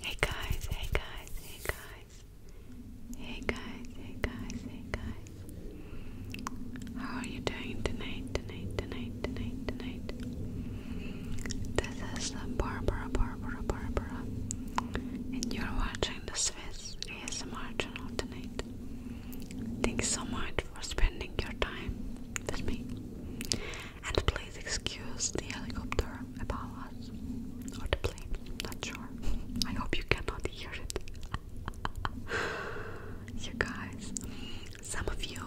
Hey guys, hey guys, hey guys. Hey guys, hey guys, hey guys. How are you doing tonight, tonight, tonight, tonight, tonight? This is Barbara, Barbara, Barbara. And you're watching the Swiss ASMR channel tonight. Thanks so much for spending your time with me. And please excuse the helicopter above us. Or the plane, not sure. I hope you cannot hear it. you guys, some of you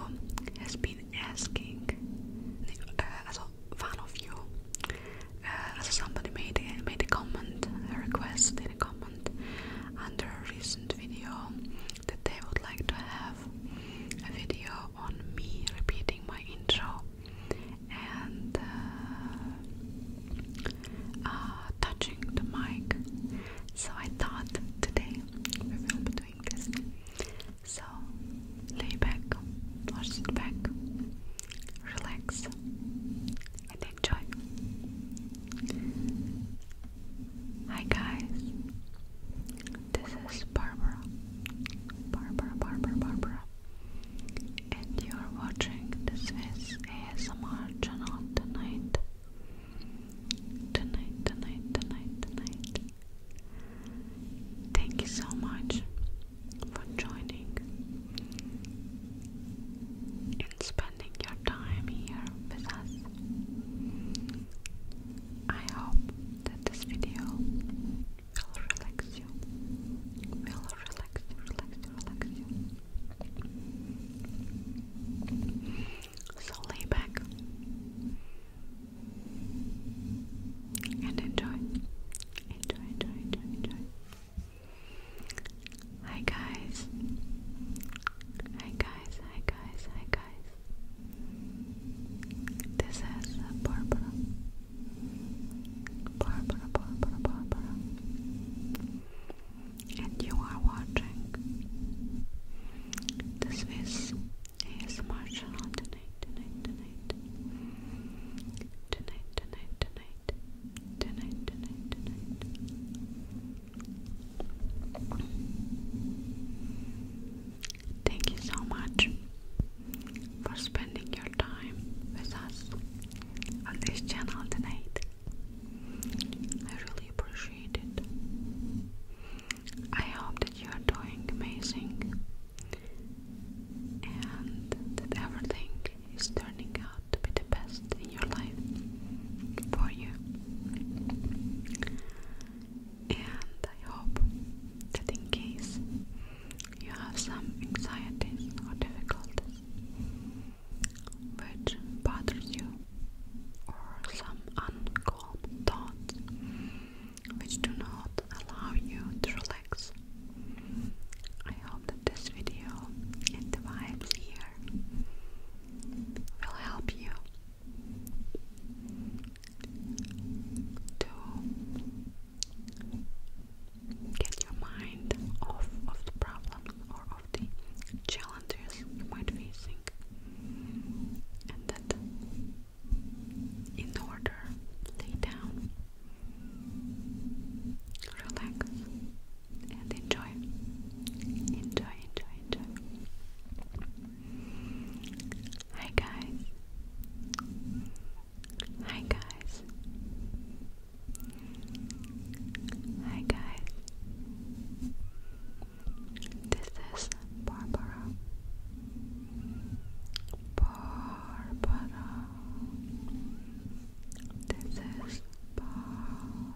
has been asking, uh, as one of you, uh, somebody made made a comment, a request in a comment under a recent video that they would like to have a video on me repeating my intro and uh, uh, touching the mic. So I thought today we will be doing this. So lay back, sit back, relax, and enjoy. Hi guys, this is Barbara. Barbara, Barbara, Barbara. And you are watching the ASMR channel tonight. Tonight, tonight, tonight, tonight. Thank you so much for joining and spending your time here with us. I hope that this video will relax you, will relax you, relax you, relax you. So lay back and enjoy, enjoy, enjoy, enjoy, enjoy. Hi guys, hi guys, hi guys, hi guys. This is Barbara. Barbara, Barbara, Barbara. And you are watching. This is ASMR channel tonight, tonight. Tonight, tonight, tonight. Tonight, tonight, tonight. Thank you so much for spending your time with us on this channel tonight. I really appreciate it. I hope that you are doing amazing and that everything is turning out to be the best in your life for you. And I hope that in case you have some anxieties or difficulties which bothers you or some uncalm thoughts which do not allow you to relax. I hope that this video and the vibes here here will help you to get your mind off of the problem or of the challenges you might be facing and that in order lay down relax and enjoy. Enjoy, enjoy, enjoy. Hi guys. Hi guys. Hi guys. This is Barbara. Barbara. This is Barbara.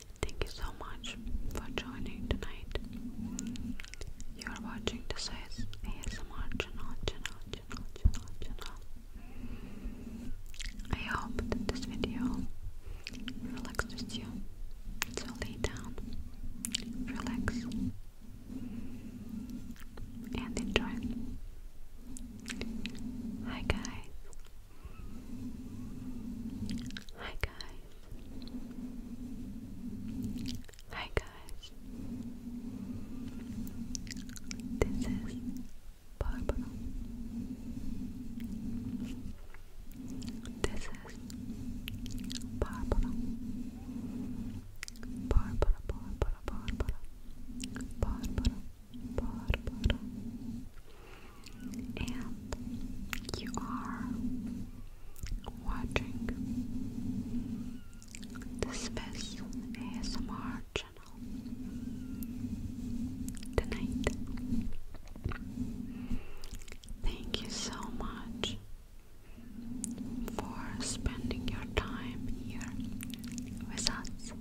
Thank you so much for joining tonight. You are watching this is ASMR channel, I hope that this video relaxes you. So lay down, relax, and enjoy. Hi guys, Hi guys. Hi guys. This is Barbara. This is Barbara. Barbara, Barbara, Barbara. Barbara, Barbara and you are watching the Space ASMR channel tonight. Thank you so much for spending your time here with us.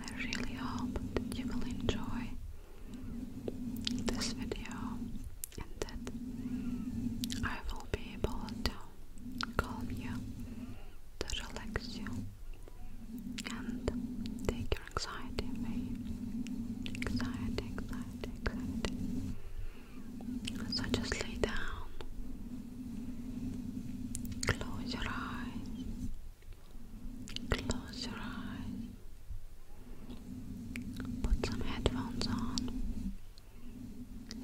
I really hope that you will enjoy this video and that I will be able to calm you, to relax you and take your anxiety away. Anxiety, anxiety, anxiety. So just lay down Close your eyes. Close your eyes. Put some headphones on.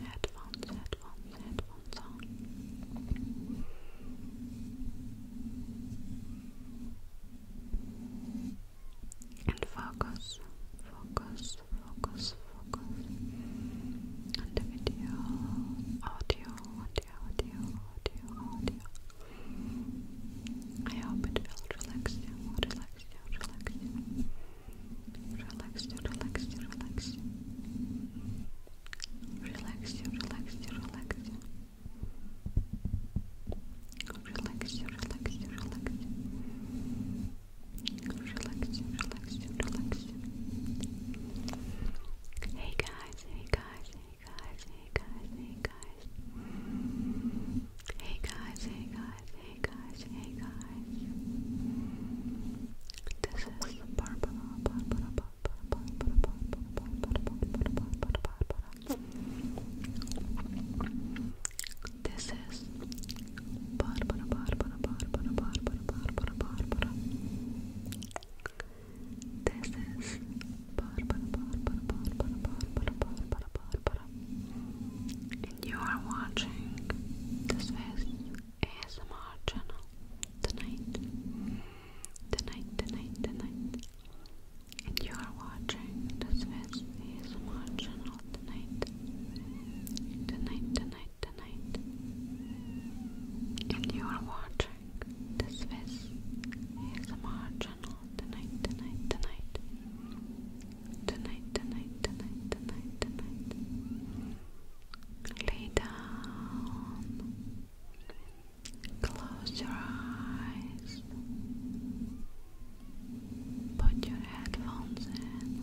Headphones, headphones, headphones on. And focus, focus, focus, focus the video, audio, audio, audio, audio, audio. I hope it will relax you, relax you, relax you, relax relax relax relax relax relax Relax relax relax relax relaxation, relaxation. Hey guys, hey guys, hey guys, hey guys, hey guys. Hey guys, hey guys, hey guys, hey guys. This is Barbara, Barbara, Barbara, Barbara, Barbara, Barbara, Barbara, Barbara, Barbara. This is this is and you are watching this face ASMR channel tonight. Tonight, tonight, tonight. And you are watching this face ASMR channel tonight. Tonight, tonight tonight, and you are watching this Swiss ASMR channel tonight, tonight, tonight, tonight, tonight, tonight, tonight, tonight. Lay down, close your eyes. Put your headphones in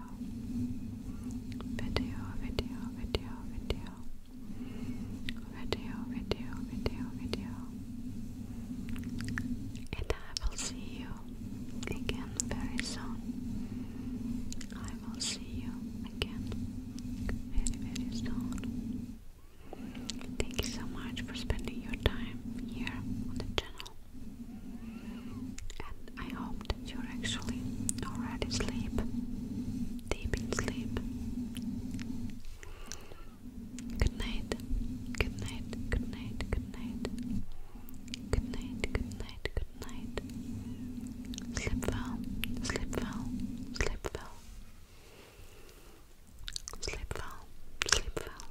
video, video, video, video, video, video, video, video, And I will see you again very soon. I will see you again very, very soon. Thank you so much for spending your time here on the channel. And I hope that you're actually already asleep, deep in sleep. Good night, good night, good night, good night. Good night, good night, good night. Sleep well, sleep well, sleep well. Sleep well, sleep well,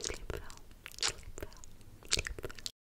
sleep well, sleep well, sleep well.